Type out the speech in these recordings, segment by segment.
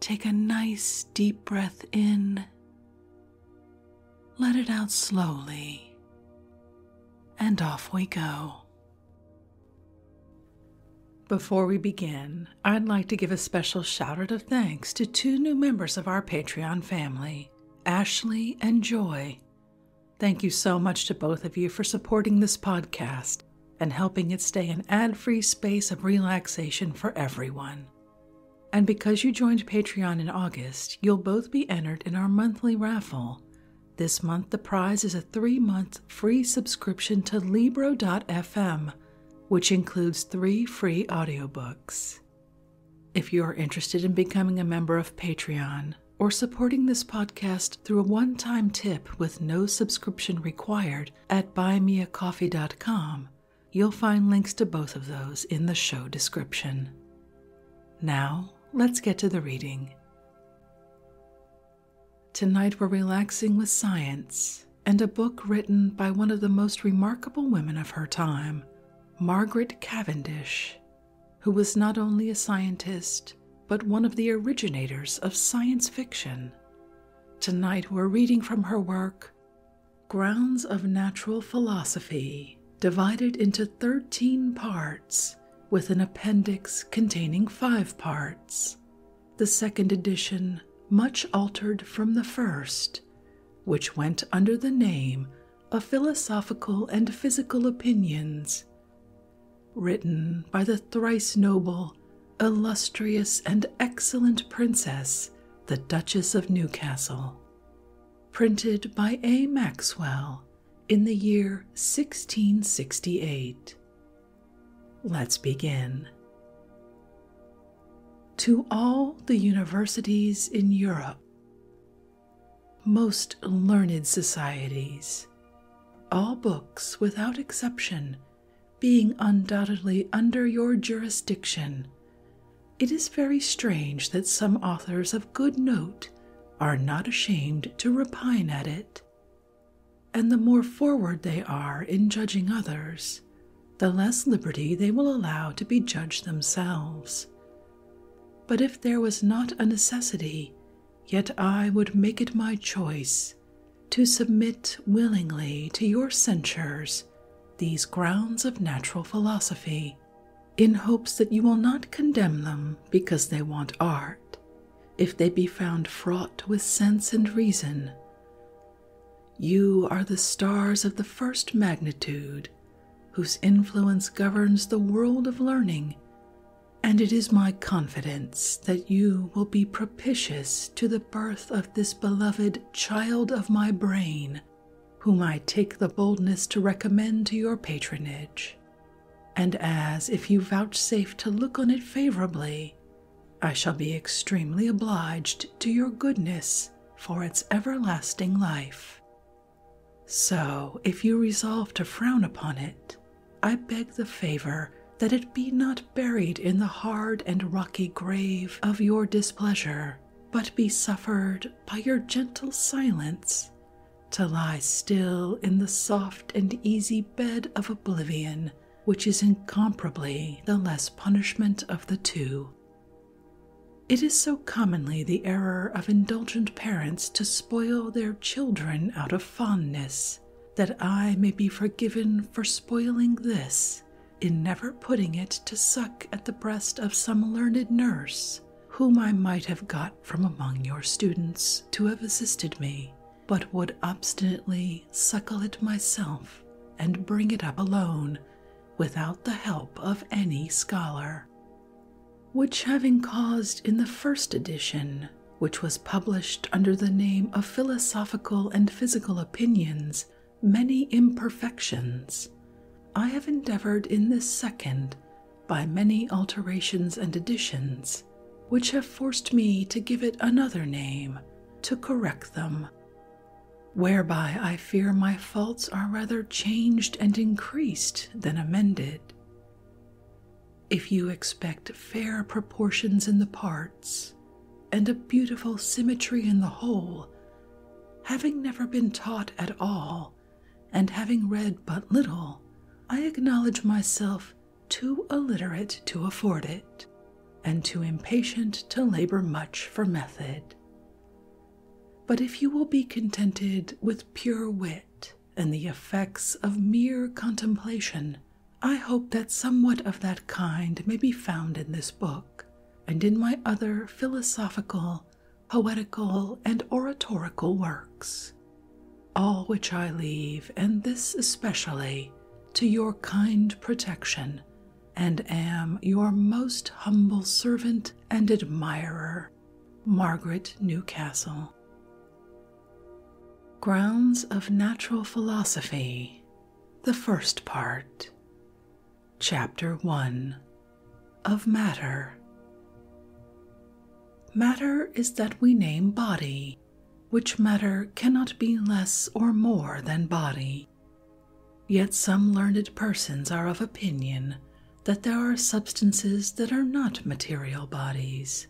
Take a nice deep breath in, let it out slowly, and off we go. Before we begin, I'd like to give a special shout out of thanks to two new members of our Patreon family, Ashley and Joy. Thank you so much to both of you for supporting this podcast and helping it stay an ad free space of relaxation for everyone. And because you joined Patreon in August, you'll both be entered in our monthly raffle. This month, the prize is a three month free subscription to Libro.fm, which includes three free audiobooks. If you are interested in becoming a member of Patreon or supporting this podcast through a one time tip with no subscription required at buymeacoffee.com, You'll find links to both of those in the show description. Now, let's get to the reading. Tonight, we're relaxing with science and a book written by one of the most remarkable women of her time, Margaret Cavendish, who was not only a scientist, but one of the originators of science fiction. Tonight, we're reading from her work, Grounds of Natural Philosophy, divided into 13 parts with an appendix containing five parts. The second edition, much altered from the first, which went under the name of Philosophical and Physical Opinions, written by the thrice noble illustrious and excellent princess, the Duchess of Newcastle. Printed by A. Maxwell in the year 1668. Let's begin. To all the universities in Europe, most learned societies, all books without exception being undoubtedly under your jurisdiction, it is very strange that some authors of good note are not ashamed to repine at it. And the more forward they are in judging others, the less liberty they will allow to be judged themselves. But if there was not a necessity, yet I would make it my choice to submit willingly to your censures these grounds of natural philosophy, in hopes that you will not condemn them because they want art, if they be found fraught with sense and reason. You are the stars of the first magnitude, whose influence governs the world of learning, and it is my confidence that you will be propitious to the birth of this beloved child of my brain, whom I take the boldness to recommend to your patronage, and as if you vouchsafe to look on it favorably, I shall be extremely obliged to your goodness for its everlasting life. So, if you resolve to frown upon it, I beg the favor that it be not buried in the hard and rocky grave of your displeasure, but be suffered by your gentle silence to lie still in the soft and easy bed of oblivion, which is incomparably the less punishment of the two. It is so commonly the error of indulgent parents to spoil their children out of fondness that I may be forgiven for spoiling this in never putting it to suck at the breast of some learned nurse, whom I might have got from among your students to have assisted me, but would obstinately suckle it myself and bring it up alone without the help of any scholar. Which, having caused in the first edition, which was published under the name of Philosophical and Physical Opinions, many imperfections, I have endeavored in this second, by many alterations and additions, which have forced me to give it another name, to correct them. Whereby I fear my faults are rather changed and increased than amended. If you expect fair proportions in the part, and a beautiful symmetry in the whole, having never been taught at all and having read but little, I acknowledge myself too illiterate to afford it, and too impatient to labor much for method. But if you will be contented with pure wit and the effects of mere contemplation, I hope that somewhat of that kind may be found in this book and in my other philosophical, poetical, and oratorical works, all which I leave, and this especially, to your kind protection, and am your most humble servant and admirer, Margaret Newcastle. Grounds of Natural Philosophy the first part, Chapter 1 of Matter. Matter is that we name body, which matter cannot be less or more than body. Yet some learned persons are of opinion that there are substances that are not material bodies,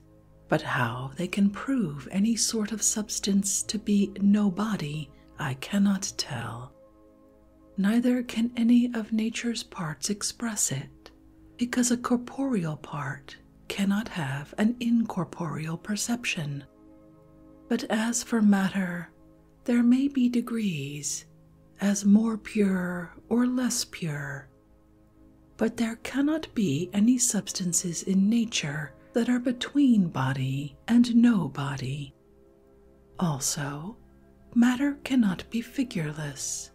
but how they can prove any sort of substance to be no body, I cannot tell. Neither can any of nature's parts express it, because a corporeal part cannot have an incorporeal perception. But as for matter, there may be degrees, as more pure or less pure. But there cannot be any substances in nature that are between body and no body. Also, matter cannot be figureless,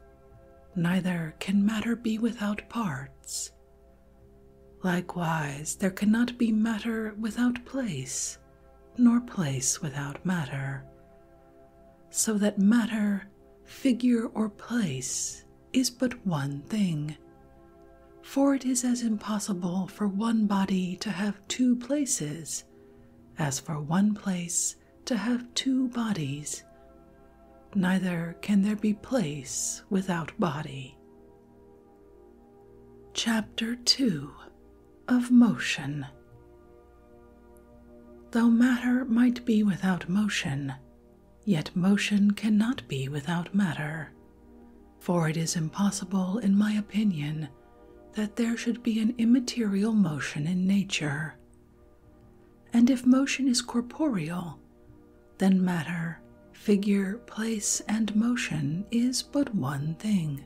neither can matter be without parts. Likewise, there cannot be matter without place, nor place without matter, so that matter, figure, or place is but one thing for it is as impossible for one body to have two places as for one place to have two bodies. Neither can there be place without body. Chapter 2 of Motion Though matter might be without motion, yet motion cannot be without matter. For it is impossible, in my opinion, that there should be an immaterial motion in nature. And if motion is corporeal, then matter, figure, place, and motion is but one thing,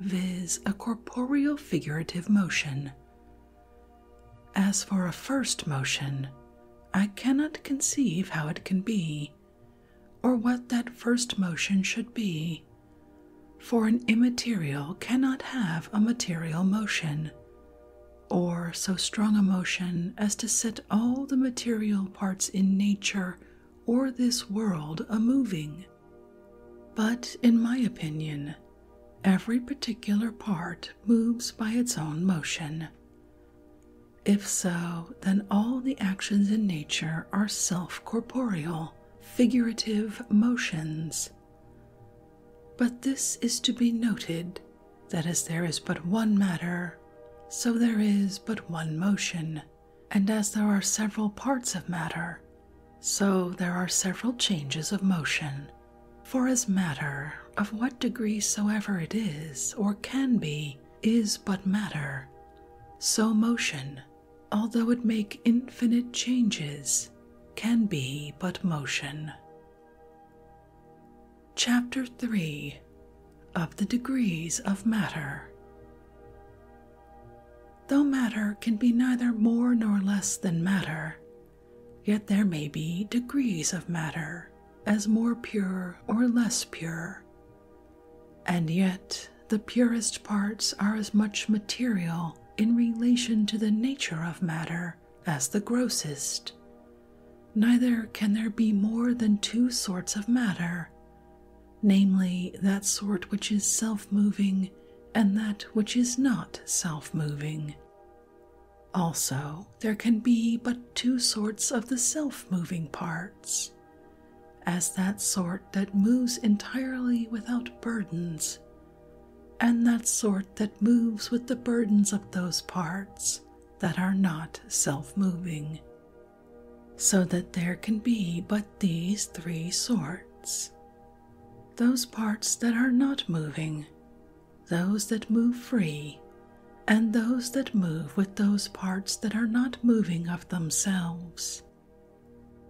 viz., a corporeal figurative motion. As for a first motion, I cannot conceive how it can be, or what that first motion should be, for an immaterial cannot have a material motion, or so strong a motion as to set all the material parts in nature or this world a moving. But in my opinion, every particular part moves by its own motion. If so, then all the actions in nature are self corporeal, figurative motions. But this is to be noted that as there is but one matter, so there is but one motion, and as there are several parts of matter, so there are several changes of motion. For as matter, of what degree soever it is or can be, is but matter, so motion, although it make infinite changes, can be but motion. Chapter 3 Of the Degrees of Matter Though matter can be neither more nor less than matter, yet there may be degrees of matter, as more pure or less pure, and yet, the purest parts are as much material in relation to the nature of matter as the grossest. Neither can there be more than two sorts of matter, namely, that sort which is self moving and that which is not self moving. Also, there can be but two sorts of the self moving parts. As that sort that moves entirely without burdens, and that sort that moves with the burdens of those parts that are not self moving, so that there can be but these three sorts those parts that are not moving, those that move free, and those that move with those parts that are not moving of themselves,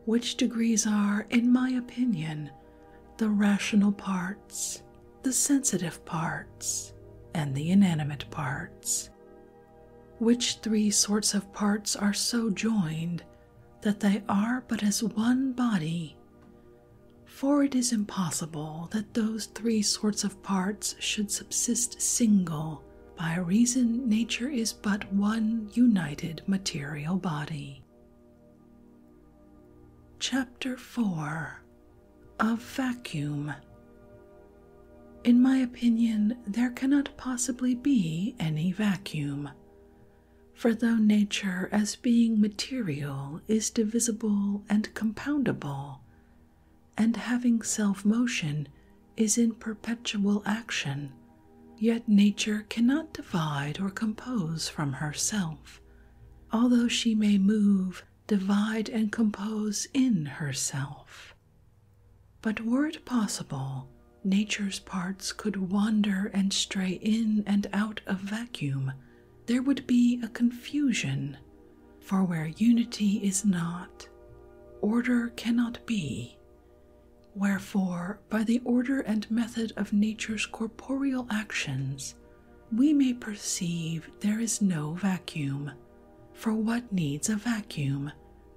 which degrees are, in my opinion, the rational parts, the sensitive parts, and the inanimate parts. Which three sorts of parts are so joined that they are but as one body? For it is impossible that those three sorts of parts should subsist single, by reason nature is but one united material body. Chapter 4 Of Vacuum In my opinion, there cannot possibly be any vacuum. For though nature, as being material, is divisible and compoundable, and having self motion, is in perpetual action, yet nature cannot divide or compose from herself, although she may move, divide, and compose in herself. But were it possible, nature's parts could wander and stray in and out of vacuum, there would be a confusion for where unity is not, order cannot be. Wherefore, by the order and method of nature's corporeal actions, we may perceive there is no vacuum. For what needs a vacuum,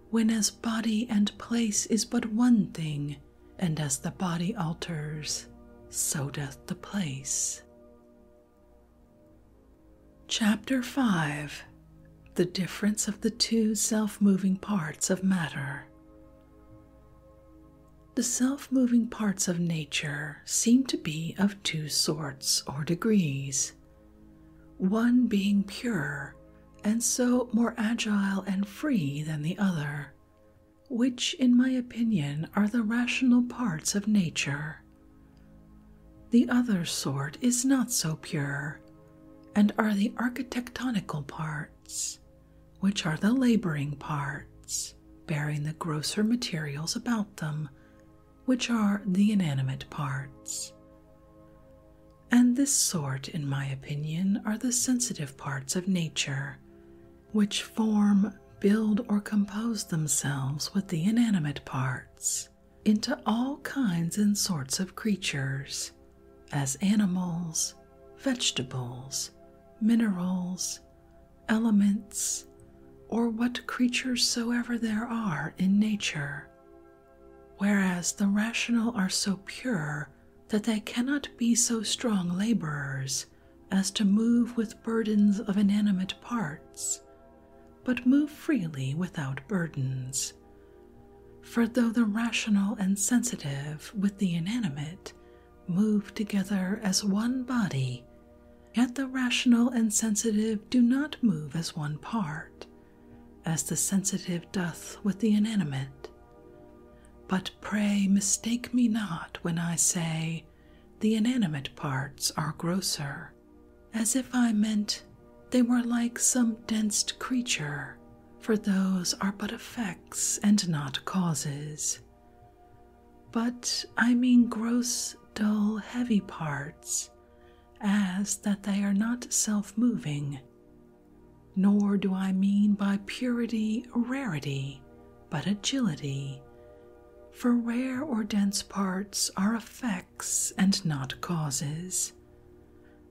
when as body and place is but one thing, and as the body alters, so doth the place? Chapter 5 The Difference of the Two Self Moving Parts of Matter. The self moving parts of nature seem to be of two sorts or degrees, one being pure and so more agile and free than the other, which, in my opinion, are the rational parts of nature. The other sort is not so pure, and are the architectonical parts, which are the laboring parts, bearing the grosser materials about them, which are the inanimate parts. And this sort, in my opinion, are the sensitive parts of nature, which form, build, or compose themselves with the inanimate parts into all kinds and sorts of creatures, as animals, vegetables, minerals, elements, or what creatures soever there are in nature. Whereas the rational are so pure that they cannot be so strong laborers as to move with burdens of inanimate parts but move freely without burdens. For though the rational and sensitive with the inanimate move together as one body, yet the rational and sensitive do not move as one part, as the sensitive doth with the inanimate. But pray mistake me not when I say, the inanimate parts are grosser as if I meant they were like some dense creature, for those are but effects and not causes. But I mean gross, dull, heavy parts, as that they are not self moving. Nor do I mean by purity rarity, but agility. For rare or dense parts are effects and not causes.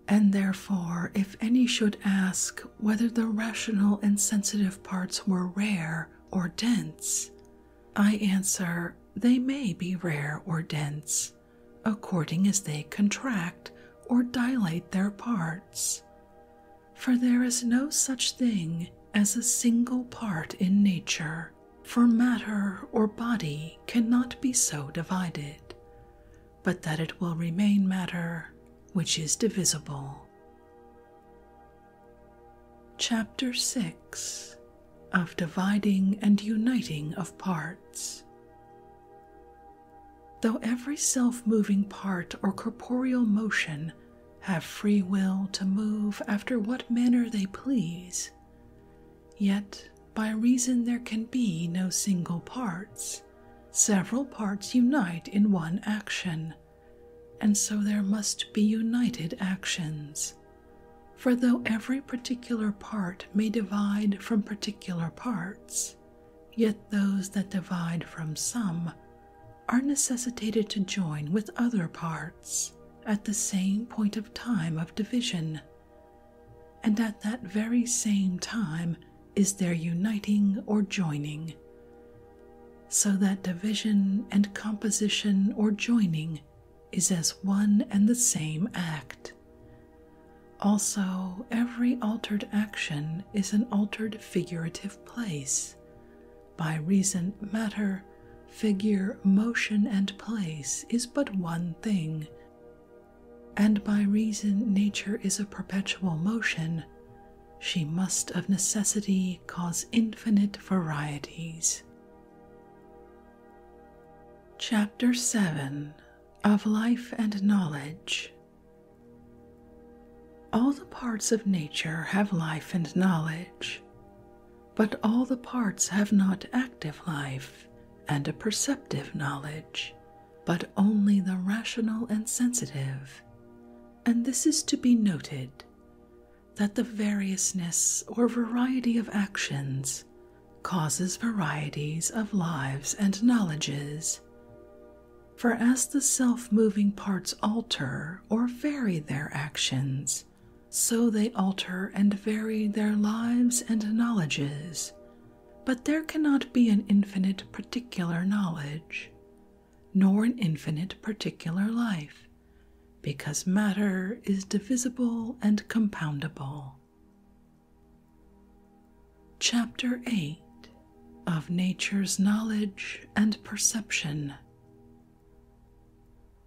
And therefore, if any should ask whether the rational and sensitive parts were rare or dense, I answer they may be rare or dense, according as they contract or dilate their parts. For there is no such thing as a single part in nature for matter or body cannot be so divided, but that it will remain matter which is divisible. Chapter 6 Of Dividing and Uniting of Parts. Though every self moving part or corporeal motion have free will to move after what manner they please, Yet, by reason there can be no single parts, several parts unite in one action, and so there must be united actions. For though every particular part may divide from particular parts, yet those that divide from some are necessitated to join with other parts at the same point of time of division, and at that very same time is their uniting or joining, so that division and composition or joining is as one and the same act. Also, every altered action is an altered figurative place, by reason matter figure, motion, and place is but one thing, and by reason nature is a perpetual motion, she must of necessity cause infinite varieties. Chapter 7 Of Life and Knowledge All the parts of nature have life and knowledge but all the parts have not active life and a perceptive knowledge, but only the rational and sensitive. And this is to be noted that the variousness or variety of actions causes varieties of lives and knowledges. For as the self moving parts alter or vary their actions, so they alter and vary their lives and knowledges, but there cannot be an infinite particular knowledge, nor an infinite particular life, because matter is divisible and compoundable. Chapter 8 of Nature's Knowledge and Perception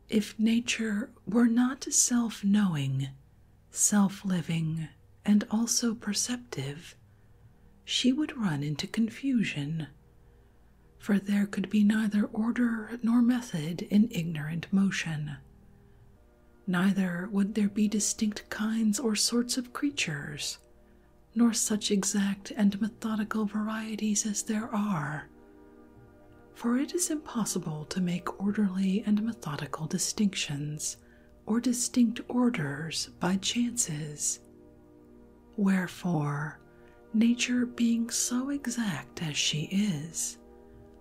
if nature were not self knowing, self living, and also perceptive, she would run into confusion, for there could be neither order nor method in ignorant motion. Neither would there be distinct kinds or sorts of creatures, nor such exact and methodical varieties as there are, for it is impossible to make orderly and methodical distinctions or distinct orders by chances. Wherefore, nature being so exact as she is,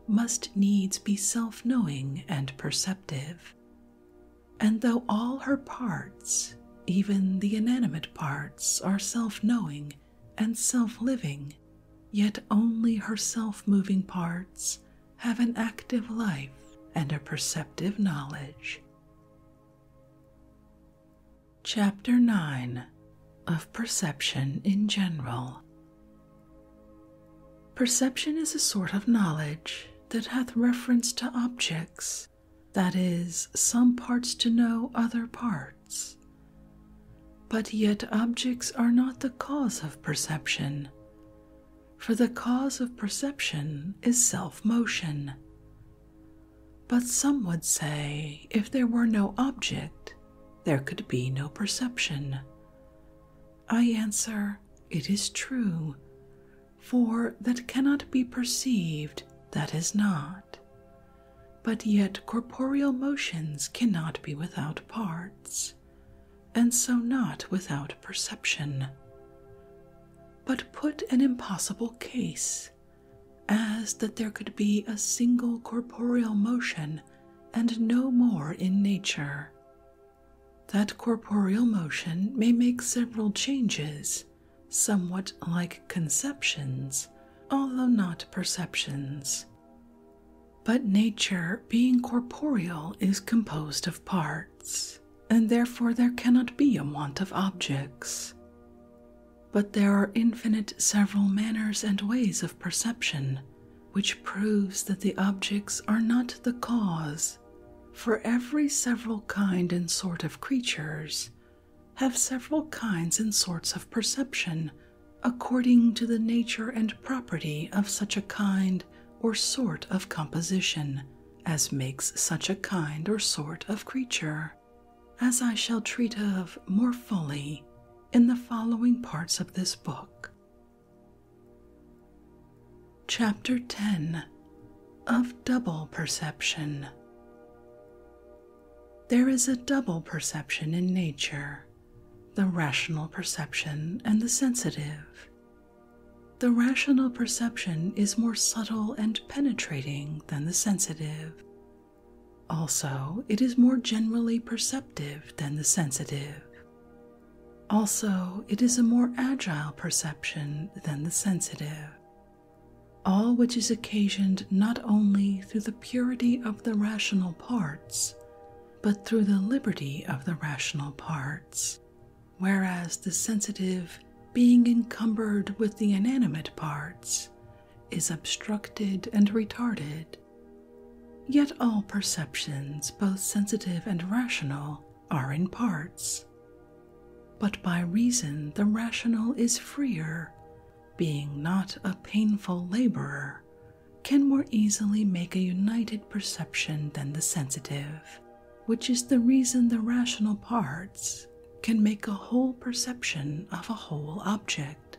must needs be self knowing and perceptive. And though all her parts, even the inanimate parts, are self knowing and self living, yet only her self moving parts have an active life and a perceptive knowledge. Chapter 9 of Perception in General Perception is a sort of knowledge that hath reference to objects, that is, some parts to know other parts but yet, objects are not the cause of perception, for the cause of perception is self motion. But some would say if there were no object, there could be no perception. I answer, it is true, for that cannot be perceived, that is not, but yet corporeal motions cannot be without parts, and so not without perception. But put an impossible case, as that there could be a single corporeal motion and no more in nature. That corporeal motion may make several changes, somewhat like conceptions, although not perceptions. But nature, being corporeal, is composed of parts, and therefore there cannot be a want of objects. But there are infinite several manners and ways of perception, which proves that the objects are not the cause, for every several kind and sort of creatures have several kinds and sorts of perception, according to the nature and property of such a kind or sort of composition as makes such a kind or sort of creature, as I shall treat of more fully in the following parts of this book. Chapter 10 of Double Perception there is a double perception in nature the rational perception and the sensitive. The rational perception is more subtle and penetrating than the sensitive. Also, it is more generally perceptive than the sensitive. Also, it is a more agile perception than the sensitive, all which is occasioned not only through the purity of the rational parts, but through the liberty of the rational parts, whereas the sensitive, being encumbered with the inanimate parts, is obstructed and retarded. Yet all perceptions, both sensitive and rational, are in parts. But by reason the rational is freer, being not a painful laborer, can more easily make a united perception than the sensitive, which is the reason the rational parts can make a whole perception of a whole object,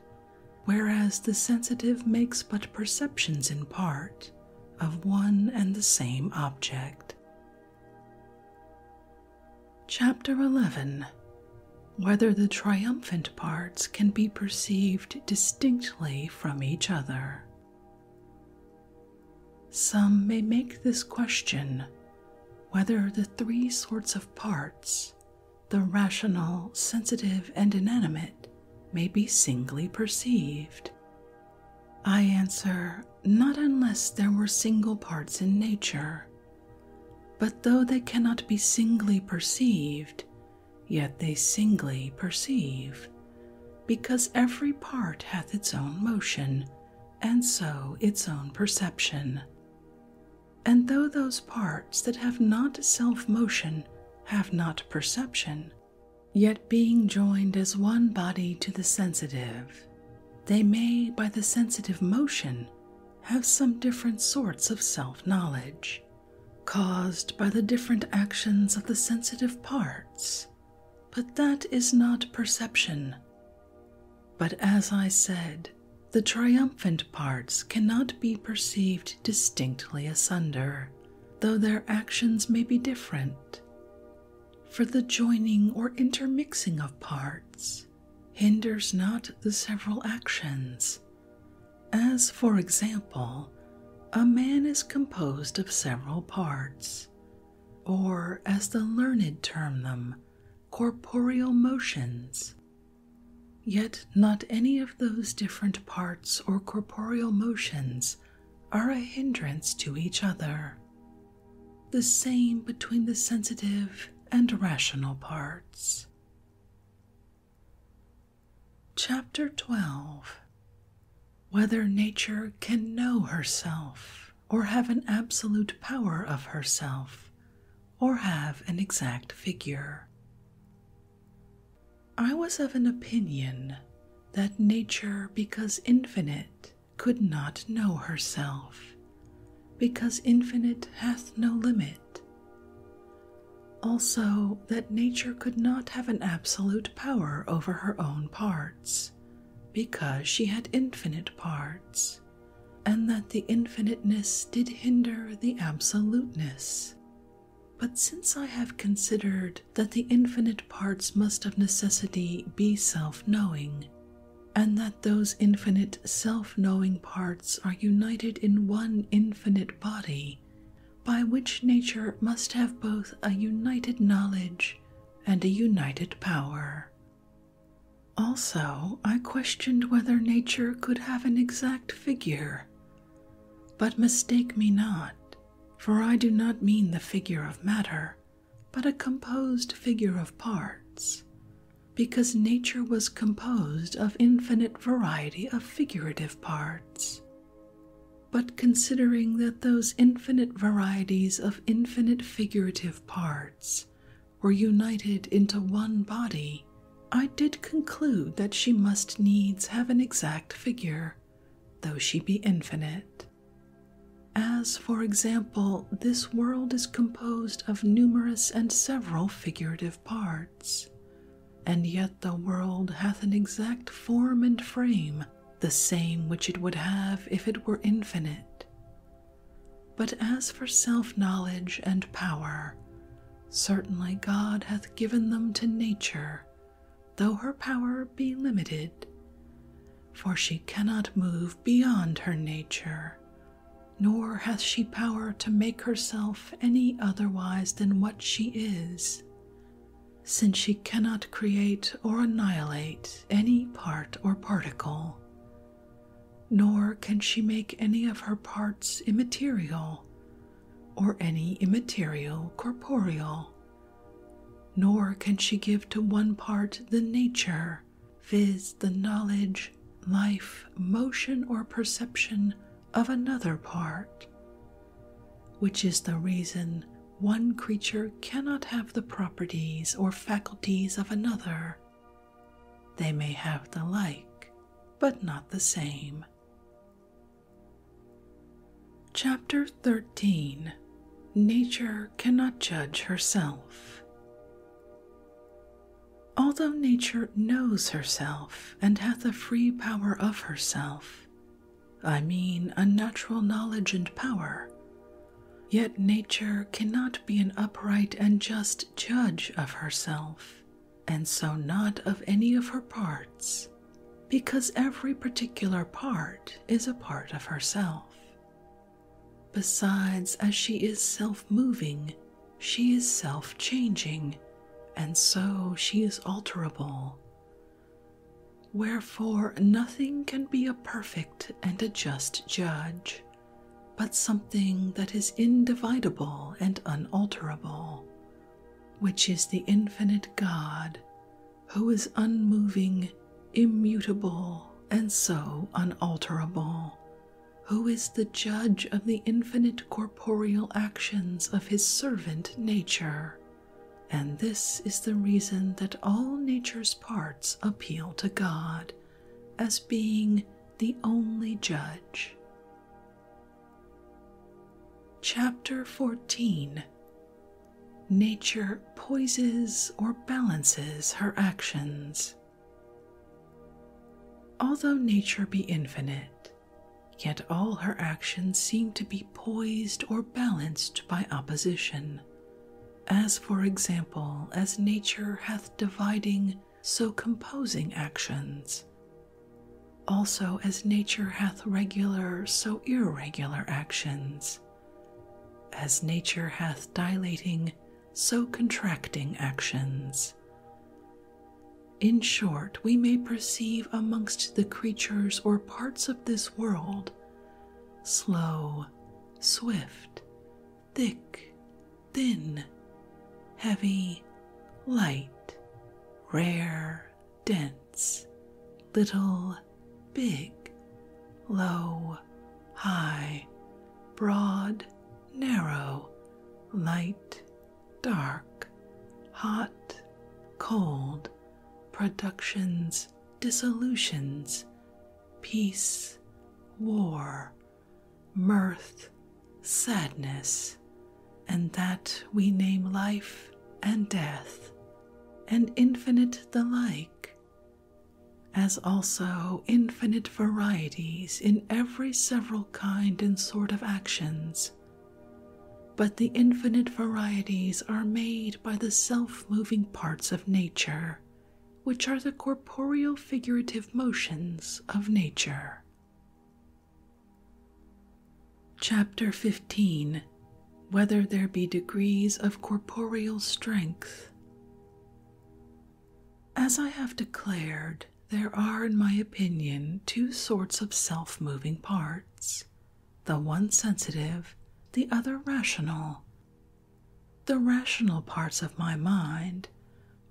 whereas the sensitive makes but perceptions in part of one and the same object. Chapter 11 whether the triumphant parts can be perceived distinctly from each other. Some may make this question whether the three sorts of parts, the rational, sensitive, and inanimate, may be singly perceived. I answer, not unless there were single parts in nature, but though they cannot be singly perceived, yet they singly perceive, because every part hath its own motion, and so its own perception. And though those parts that have not self motion have not perception, yet being joined as one body to the sensitive, they may by the sensitive motion have some different sorts of self knowledge caused by the different actions of the sensitive parts, but that is not perception. But as I said, the triumphant parts cannot be perceived distinctly asunder, though their actions may be different. For the joining or intermixing of parts hinders not the several actions, as, for example, a man is composed of several parts, or, as the learned term them, corporeal motions. Yet not any of those different parts or corporeal motions are a hindrance to each other. The same between the sensitive and rational parts. Chapter 12 Whether Nature Can Know Herself, or Have an Absolute Power of Herself, or Have an Exact Figure. I was of an opinion that nature, because infinite, could not know herself, because infinite hath no limit, also, that nature could not have an absolute power over her own parts, because she had infinite parts, and that the infiniteness did hinder the absoluteness. But since I have considered that the infinite parts must of necessity be self knowing, and that those infinite self knowing parts are united in one infinite body, by which nature must have both a united knowledge and a united power. Also, I questioned whether nature could have an exact figure. But mistake me not, for I do not mean the figure of matter, but a composed figure of parts, because nature was composed of infinite variety of figurative parts. But considering that those infinite varieties of infinite figurative parts were united into one body, I did conclude that she must needs have an exact figure, though she be infinite. As, for example, this world is composed of numerous and several figurative parts and yet the world hath an exact form and frame, the same which it would have if it were infinite. But as for self knowledge and power, certainly God hath given them to nature, though her power be limited, for she cannot move beyond her nature, nor hath she power to make herself any otherwise than what she is, since she cannot create or annihilate any part or particle, nor can she make any of her parts immaterial, or any immaterial corporeal, nor can she give to one part the nature, viz., the knowledge life, motion, or perception of another part, which is the reason one creature cannot have the properties or faculties of another. They may have the like, but not the same. Chapter 13 Nature Cannot Judge Herself Although nature knows herself and hath a free power of herself, I mean a natural knowledge and power, yet nature cannot be an upright and just judge of herself, and so not of any of her parts, because every particular part is a part of herself. Besides, as she is self moving, she is self changing, and so she is alterable. Wherefore, nothing can be a perfect and a just judge, but something that is indivisible and unalterable, which is the infinite God, who is unmoving, immutable, and so unalterable, who is the judge of the infinite corporeal actions of his servant nature. And this is the reason that all nature's parts appeal to God as being the only judge. Chapter 14 Nature poises or balances her actions. Although nature be infinite, yet all her actions seem to be poised or balanced by opposition. As, for example, as nature hath dividing, so composing actions. Also, as nature hath regular, so irregular actions. As nature hath dilating, so contracting actions. In short, we may perceive amongst the creatures or parts of this world slow, swift, thick, thin, heavy, light, rare, dense, little, big, low, high, broad, narrow, light, dark, hot, cold, productions, dissolutions, peace, war, mirth, sadness, and that we name life and death, and infinite the like, as also infinite varieties in every several kind and sort of actions, but the infinite varieties are made by the self moving parts of nature, which are the corporeal figurative motions of nature. Chapter 15 Whether there be degrees of corporeal strength. As I have declared, there are, in my opinion, two sorts of self moving parts the one sensitive, the other rational. The rational parts of my mind,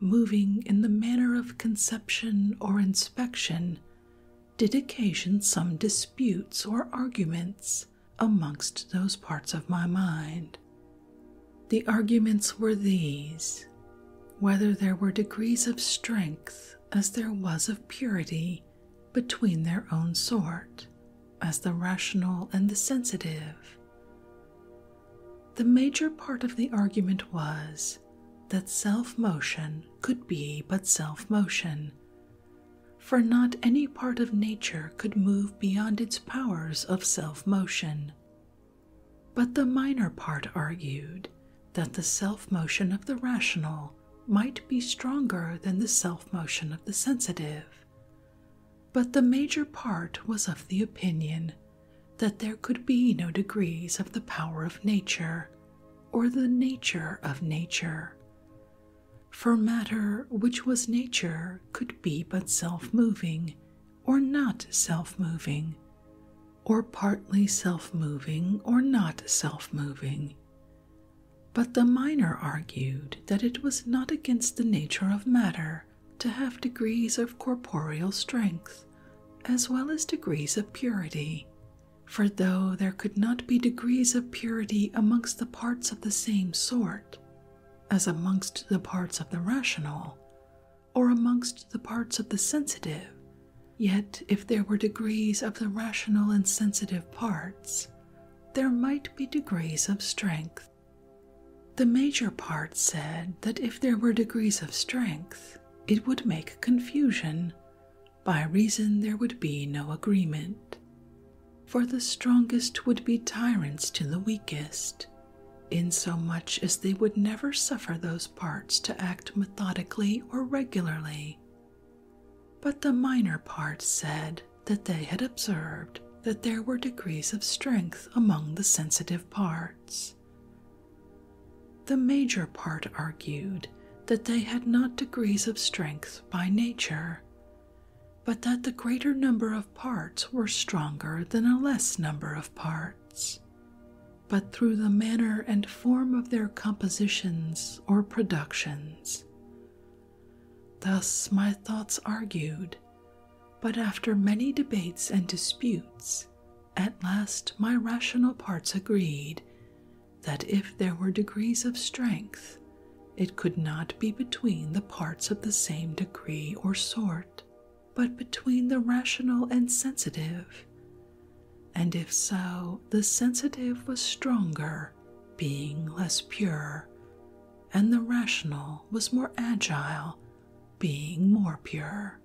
moving in the manner of conception or inspection, did occasion some disputes or arguments amongst those parts of my mind. The arguments were these whether there were degrees of strength as there was of purity between their own sort, as the rational and the sensitive. The major part of the argument was that self motion could be but self motion, for not any part of nature could move beyond its powers of self motion, but the minor part argued that the self motion of the rational might be stronger than the self motion of the sensitive. But the major part was of the opinion that there could be no degrees of the power of nature or the nature of nature. For matter which was nature could be but self moving or not self moving, or partly self moving or not self moving. But the miner argued that it was not against the nature of matter to have degrees of corporeal strength, as well as degrees of purity. For though there could not be degrees of purity amongst the parts of the same sort, as amongst the parts of the rational, or amongst the parts of the sensitive, yet if there were degrees of the rational and sensitive parts, there might be degrees of strength. The major part said that if there were degrees of strength, it would make confusion, by reason there would be no agreement. For the strongest would be tyrants to the weakest, insomuch as they would never suffer those parts to act methodically or regularly. But the minor parts said that they had observed that there were degrees of strength among the sensitive parts. The major part argued that they had not degrees of strength by nature, but that the greater number of parts were stronger than a less number of parts but through the manner and form of their compositions or productions. Thus my thoughts argued, but after many debates and disputes, at last my rational parts agreed that if there were degrees of strength, it could not be between the parts of the same degree or sort but between the rational and sensitive, and if so, the sensitive was stronger, being less pure, and the rational was more agile, being more pure.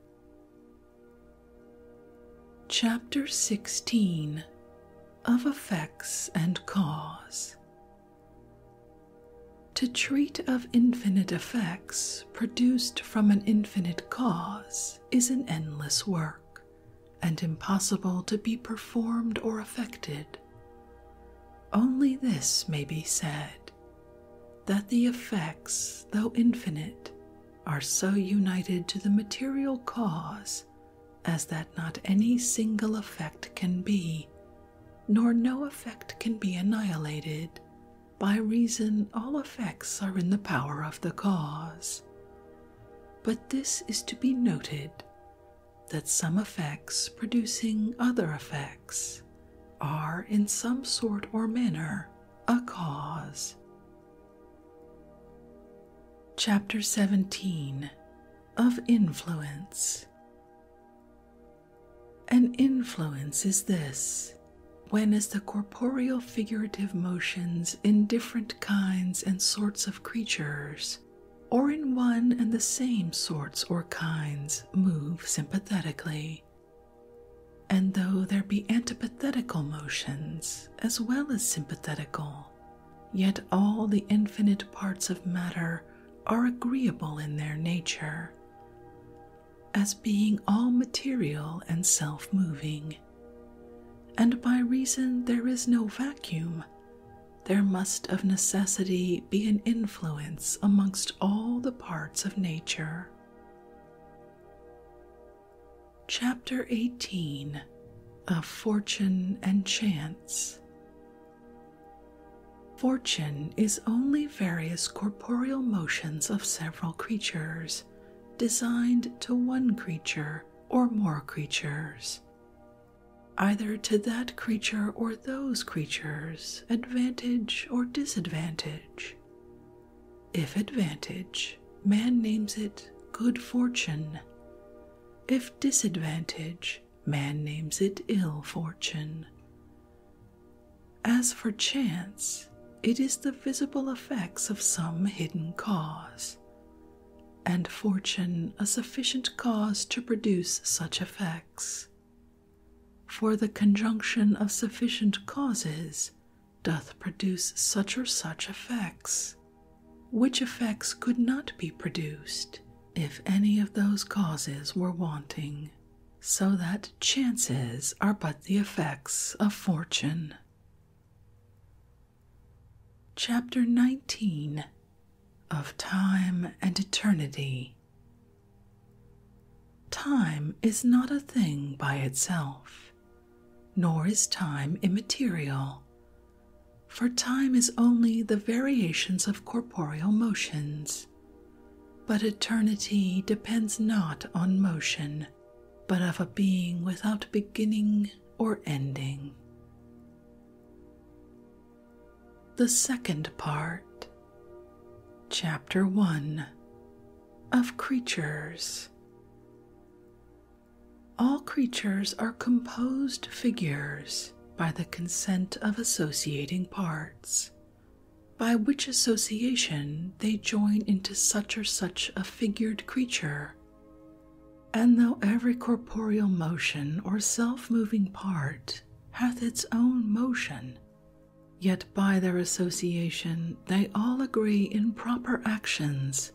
Chapter 16 of Effects and Cause to treat of infinite effects produced from an infinite cause is an endless work, and impossible to be performed or effected. Only this may be said that the effects, though infinite, are so united to the material cause as that not any single effect can be, nor no effect can be annihilated by reason all effects are in the power of the cause. But this is to be noted that some effects producing other effects are in some sort or manner a cause. Chapter 17 of Influence an influence is this when, as the corporeal figurative motions in different kinds and sorts of creatures, or in one and the same sorts or kinds, move sympathetically, and though there be antipathetical motions as well as sympathetical, yet all the infinite parts of matter are agreeable in their nature as being all material and self moving, and by reason there is no vacuum, there must of necessity be an influence amongst all the parts of nature. Chapter 18 Of Fortune and Chance Fortune is only various corporeal motions of several creatures, designed to one creature or more creatures. Either to that creature or those creatures, advantage or disadvantage. If advantage, man names it good fortune. If disadvantage, man names it ill fortune. As for chance, it is the visible effects of some hidden cause, and fortune a sufficient cause to produce such effects. For the conjunction of sufficient causes doth produce such or such effects, which effects could not be produced if any of those causes were wanting so that chances are but the effects of fortune. Chapter 19 of Time and Eternity Time is not a thing by itself, nor is time immaterial, for time is only the variations of corporeal motions. But eternity depends not on motion, but of a being without beginning or ending. The second part, Chapter 1 of Creatures. All creatures are composed figures by the consent of associating parts by which association they join into such or such a figured creature. And though every corporeal motion or self moving part hath its own motion, yet by their association they all agree in proper actions,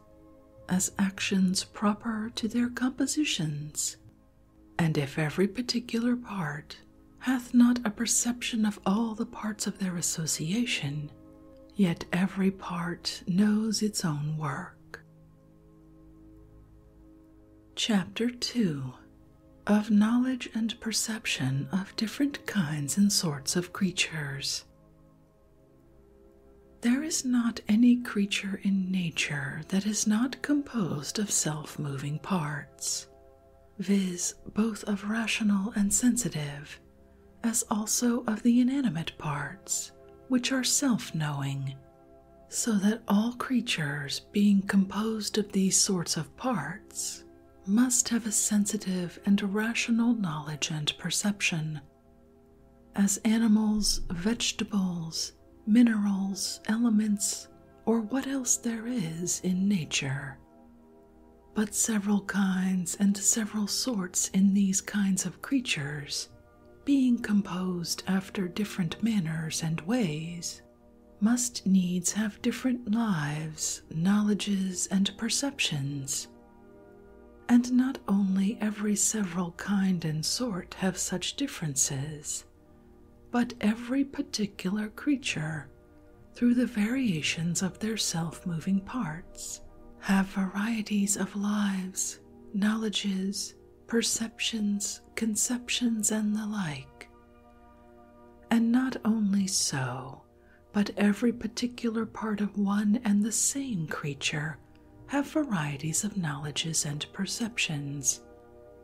as actions proper to their compositions. And if every particular part hath not a perception of all the parts of their association, yet every part knows its own work. Chapter 2 Of Knowledge and Perception of Different Kinds and Sorts of Creatures. There is not any creature in nature that is not composed of self moving parts, viz., both of rational and sensitive, as also of the inanimate parts, which are self knowing, so that all creatures, being composed of these sorts of parts, must have a sensitive and rational knowledge and perception. As animals, vegetables, minerals, elements, or what else there is in nature but several kinds and several sorts in these kinds of creatures, being composed after different manners and ways, must needs have different lives, knowledges, and perceptions. And not only every several kind and sort have such differences, but every particular creature, through the variations of their self moving parts, have varieties of lives, knowledges, perceptions, conceptions, and the like. And not only so, but every particular part of one and the same creature have varieties of knowledges and perceptions,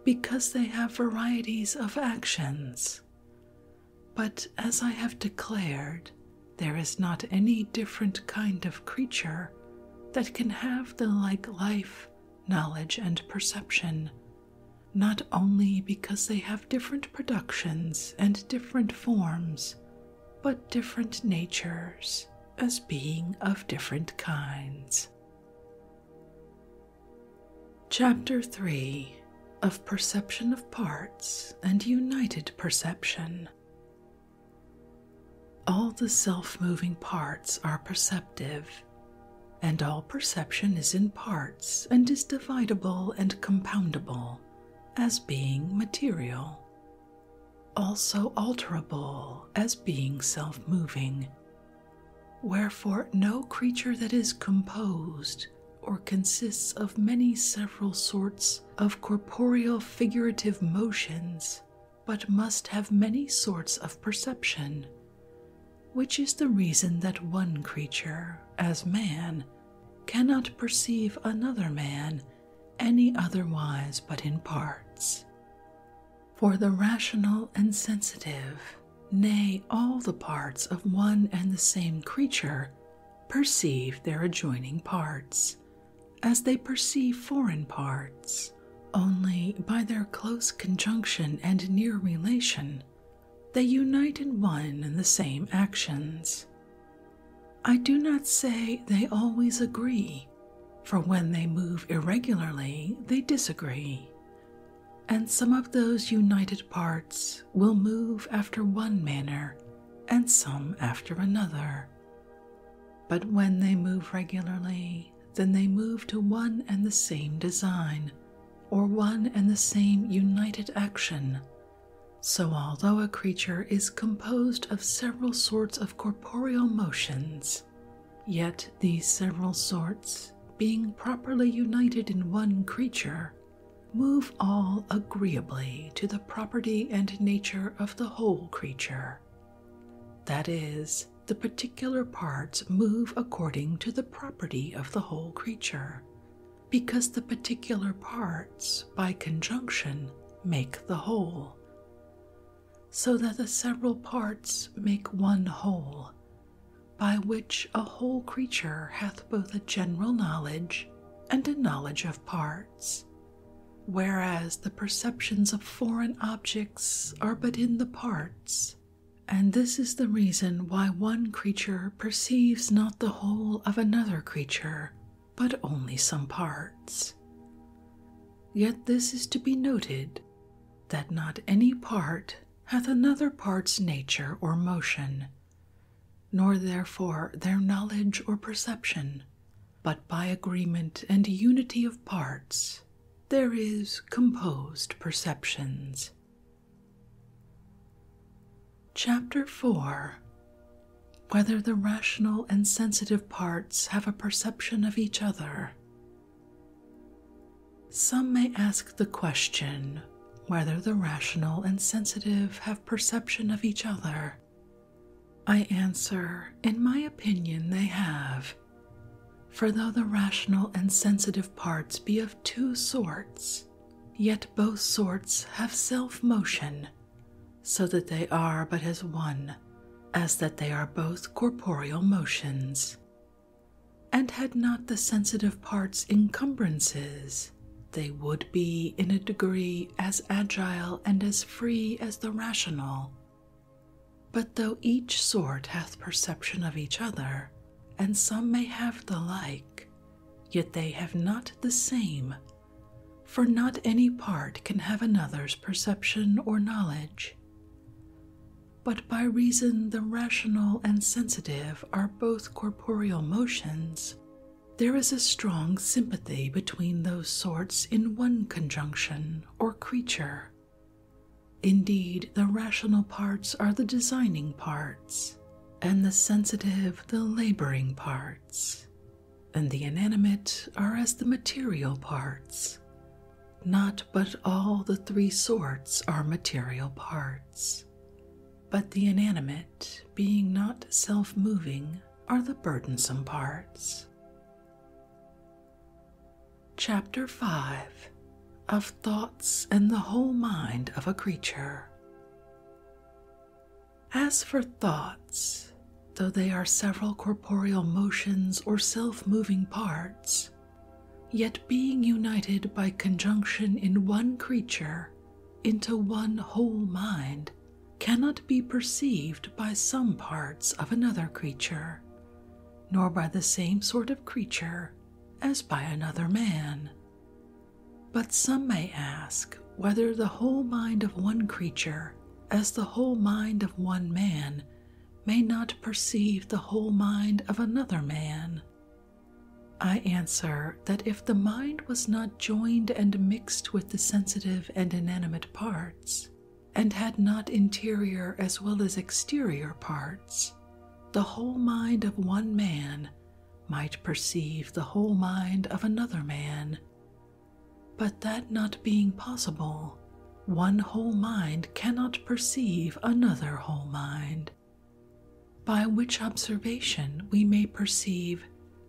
because they have varieties of actions. But as I have declared, there is not any different kind of creature that can have the like life, knowledge, and perception, not only because they have different productions and different forms, but different natures, as being of different kinds. Chapter 3 of Perception of Parts and United Perception. All the self moving parts are perceptive, and all perception is in parts and is divisible and compoundable as being material, also alterable as being self moving, Wherefore, no creature that is composed or consists of many several sorts of corporeal figurative motions, but must have many sorts of perception, which is the reason that one creature, as man, cannot perceive another man any otherwise but in parts. For the rational and sensitive, nay, all the parts of one and the same creature, perceive their adjoining parts, as they perceive foreign parts, only by their close conjunction and near relation they unite in one and the same actions. I do not say they always agree, for when they move irregularly, they disagree, and some of those united parts will move after one manner and some after another. But when they move regularly, then they move to one and the same design, or one and the same united action. So, although a creature is composed of several sorts of corporeal motions, yet these several sorts being properly united in one creature, move all agreeably to the property and nature of the whole creature. That is, the particular parts move according to the property of the whole creature, because the particular parts, by conjunction, make the whole. So that the several parts make one whole, by which a whole creature hath both a general knowledge and a knowledge of parts, whereas the perceptions of foreign objects are but in the parts. And this is the reason why one creature perceives not the whole of another creature, but only some parts. Yet this is to be noted that not any part hath another part's nature or motion, nor therefore their knowledge or perception, but by agreement and unity of parts there is composed perceptions. Chapter 4 Whether the rational and sensitive parts have a perception of each other, some may ask the question whether the rational and sensitive have perception of each other. I answer, in my opinion, they have. For though the rational and sensitive parts be of two sorts, yet both sorts have self motion, so that they are but as one, as that they are both corporeal motions and had not the sensitive parts encumbrances, they would be in a degree as agile and as free as the rational. But though each sort hath perception of each other, and some may have the like, yet they have not the same, for not any part can have another's perception or knowledge. But by reason the rational and sensitive are both corporeal motions, there is a strong sympathy between those sorts in one conjunction or creature. Indeed, the rational parts are the designing parts, and the sensitive the laboring parts, and the inanimate are as the material parts. Not but all the three sorts are material parts but the inanimate, being not self moving, are the burdensome parts. Chapter 5 Of Thoughts and the Whole Mind of a Creature. As for thoughts, though they are several corporeal motions or self moving parts, yet being united by conjunction in one creature into one whole mind cannot be perceived by some parts of another creature, nor by the same sort of creature as by another man. But some may ask whether the whole mind of one creature, as the whole mind of one man, may not perceive the whole mind of another man, I answer that if the mind was not joined and mixed with the sensitive and inanimate parts, and had not interior as well as exterior parts, the whole mind of one man might perceive the whole mind of another man. But that not being possible, one whole mind cannot perceive another whole mind by which observation we may perceive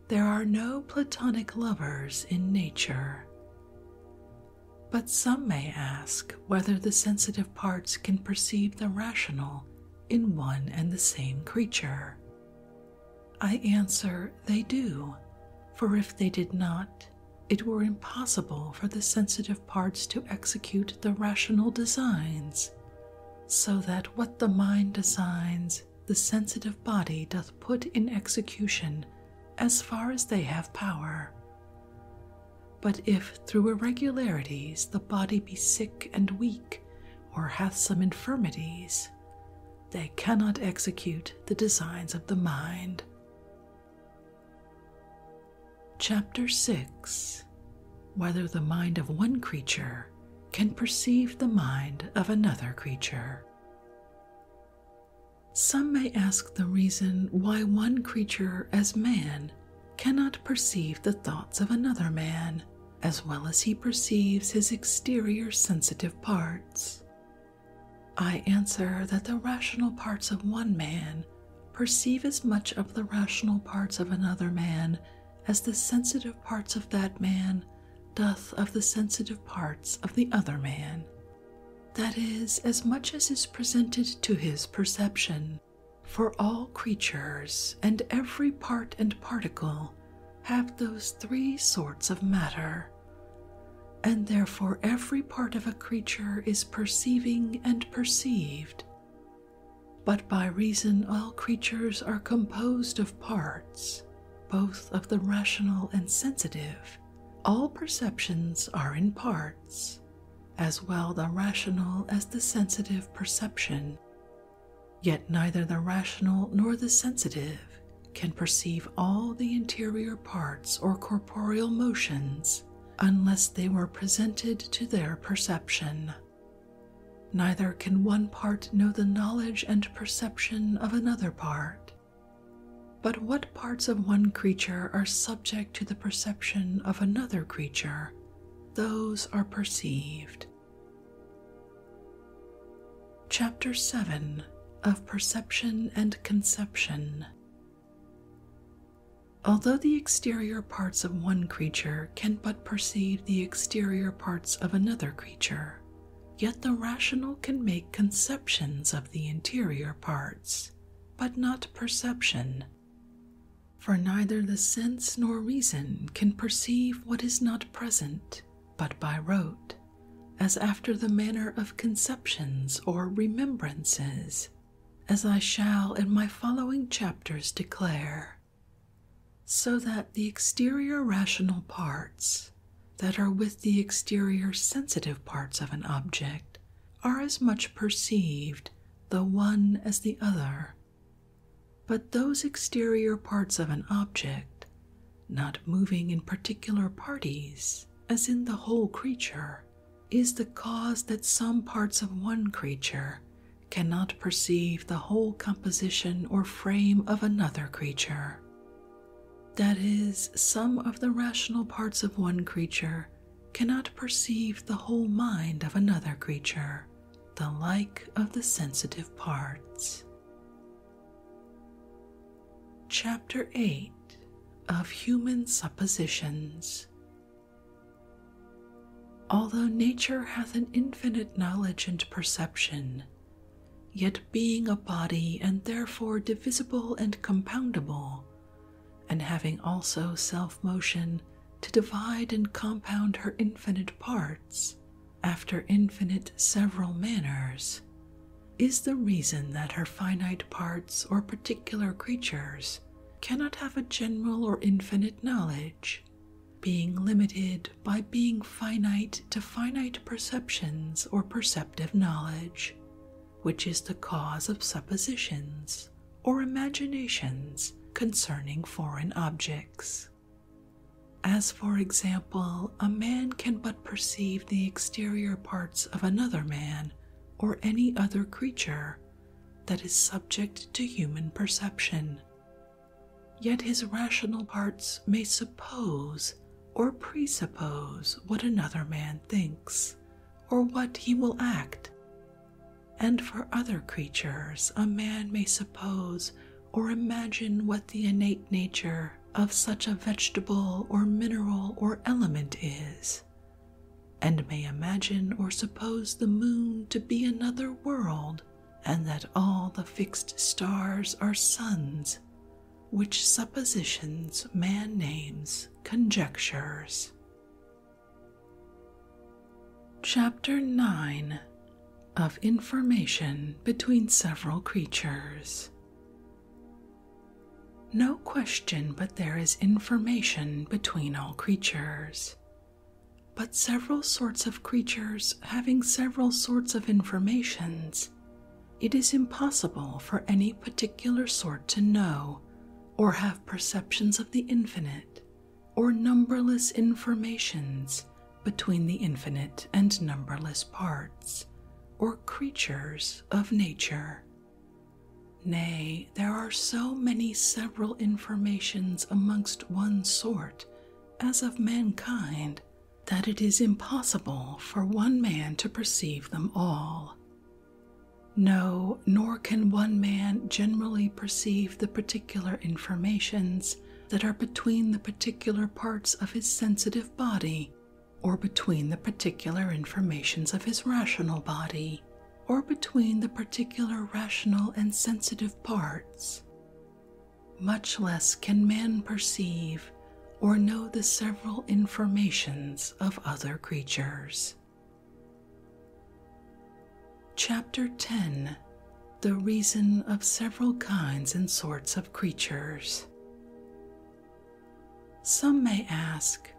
there are no platonic lovers in nature. But some may ask whether the sensitive parts can perceive the rational in one and the same creature. I answer they do, for if they did not, it were impossible for the sensitive parts to execute the rational designs, so that what the mind designs, the sensitive body doth put in execution as far as they have power. But if through irregularities the body be sick and weak, or hath some infirmities, they cannot execute the designs of the mind. Chapter 6 Whether the mind of one creature can perceive the mind of another creature. Some may ask the reason why one creature, as man, cannot perceive the thoughts of another man as well as he perceives his exterior sensitive parts. I answer that the rational parts of one man perceive as much of the rational parts of another man as the sensitive parts of that man doth of the sensitive parts of the other man. That is, as much as is presented to his perception. For all creatures and every part and particle have those three sorts of matter, and therefore every part of a creature is perceiving and perceived, but by reason all creatures are composed of parts, both of the rational and sensitive, all perceptions are in parts, as well the rational as the sensitive perception. Yet neither the rational nor the sensitive can perceive all the interior parts or corporeal motions unless they were presented to their perception. Neither can one part know the knowledge and perception of another part. But what parts of one creature are subject to the perception of another creature, those are perceived. Chapter 7 of Perception and Conception Although the exterior parts of one creature can but perceive the exterior parts of another creature, yet the rational can make conceptions of the interior parts, but not perception. For neither the sense nor reason can perceive what is not present, but by rote, as after the manner of conceptions or remembrances as I shall in my following chapters declare, so that the exterior rational parts that are with the exterior sensitive parts of an object are as much perceived, the one as the other. But those exterior parts of an object, not moving in particular parties, as in the whole creature, is the cause that some parts of one creature cannot perceive the whole composition or frame of another creature. That is, some of the rational parts of one creature cannot perceive the whole mind of another creature, the like of the sensitive parts. Chapter 8 of Human Suppositions Although nature hath an infinite knowledge and perception, yet being a body and therefore divisible and compoundable, and having also self motion to divide and compound her infinite parts after infinite several manners, is the reason that her finite parts or particular creatures cannot have a general or infinite knowledge, being limited by being finite to finite perceptions or perceptive knowledge, which is the cause of suppositions or imaginations concerning foreign objects. As, for example, a man can but perceive the exterior parts of another man or any other creature that is subject to human perception. Yet his rational parts may suppose or presuppose what another man thinks or what he will act. And for other creatures, a man may suppose or imagine what the innate nature of such a vegetable or mineral or element is, and may imagine or suppose the moon to be another world, and that all the fixed stars are suns, which suppositions man names conjectures. Chapter 9 of Information Between Several Creatures no question but there is information between all creatures. But several sorts of creatures having several sorts of informations, it is impossible for any particular sort to know or have perceptions of the infinite or numberless informations between the infinite and numberless parts or creatures of nature. Nay, there are so many several informations amongst one sort, as of mankind, that it is impossible for one man to perceive them all. No, nor can one man generally perceive the particular informations that are between the particular parts of his sensitive body, or between the particular informations of his rational body, or between the particular rational and sensitive parts. Much less can man perceive or know the several informations of other creatures. Chapter 10 The Reason of Several Kinds and Sorts of Creatures. Some may ask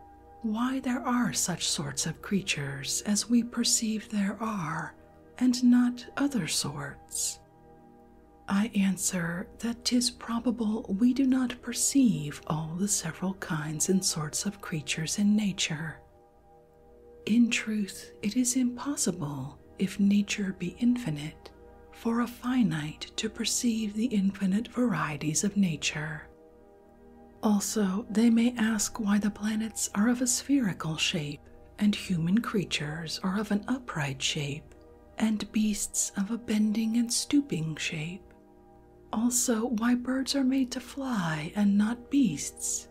why there are such sorts of creatures as we perceive there are, and not other sorts. I answer that tis probable we do not perceive all the several kinds and sorts of creatures in nature. In truth, it is impossible, if nature be infinite, for a finite to perceive the infinite varieties of nature, also, they may ask why the planets are of a spherical shape, and human creatures are of an upright shape, and beasts of a bending and stooping shape. Also, why birds are made to fly and not beasts.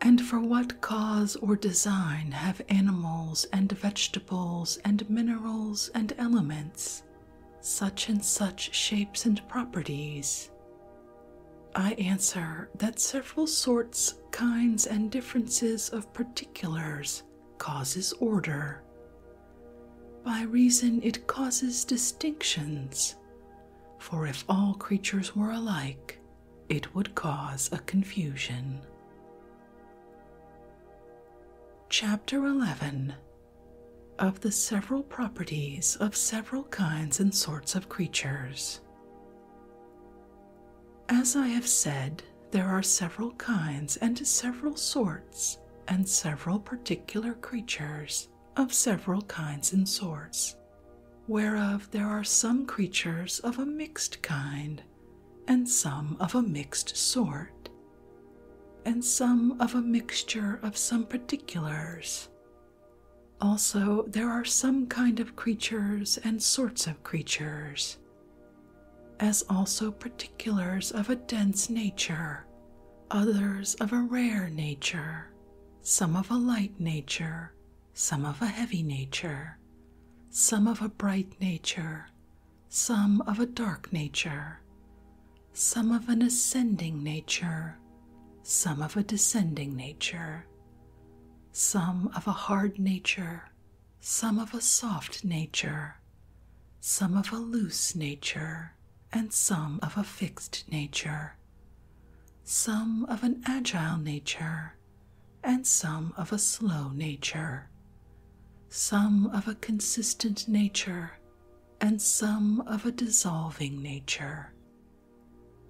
And for what cause or design have animals and vegetables and minerals and elements such and such shapes and properties? I answer that several sorts, kinds, and differences of particulars causes order. By reason it causes distinctions, for if all creatures were alike, it would cause a confusion. Chapter 11 of the several properties of several kinds and sorts of creatures. As I have said, there are several kinds and several sorts and several particular creatures of several kinds and sorts, whereof there are some creatures of a mixed kind and some of a mixed sort, and some of a mixture of some particulars also, there are some kind of creatures and sorts of creatures, as also particulars of a dense nature, others of a rare nature, some of a light nature, some of a heavy nature, some of a bright nature, some of a dark nature, some of an ascending nature, some of a descending nature, some of a hard nature, some of a soft nature, some of a loose nature, and some of a fixed nature, some of an agile nature, and some of a slow nature, some of a consistent nature, and some of a dissolving nature,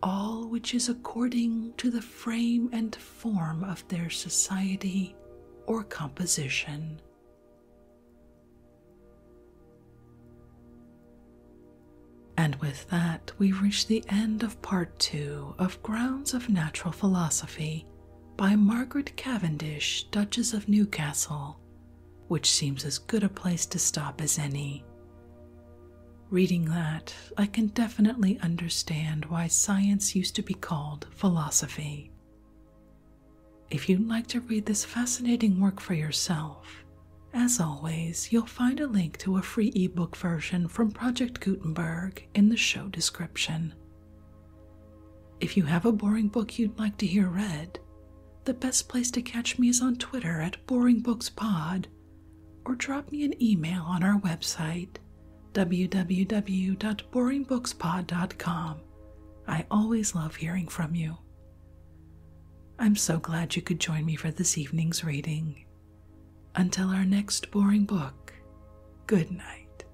all which is according to the frame and form of their society or composition. And with that, we reach the end of part two of Grounds of Natural Philosophy by Margaret Cavendish, Duchess of Newcastle, which seems as good a place to stop as any. Reading that, I can definitely understand why science used to be called philosophy. If you'd like to read this fascinating work for yourself, as always, you'll find a link to a free ebook version from Project Gutenberg in the show description. If you have a boring book you'd like to hear read, the best place to catch me is on Twitter at BoringBooksPod or drop me an email on our website www.boringbookspod.com. I always love hearing from you. I'm so glad you could join me for this evening's reading. Until our next boring book, good night.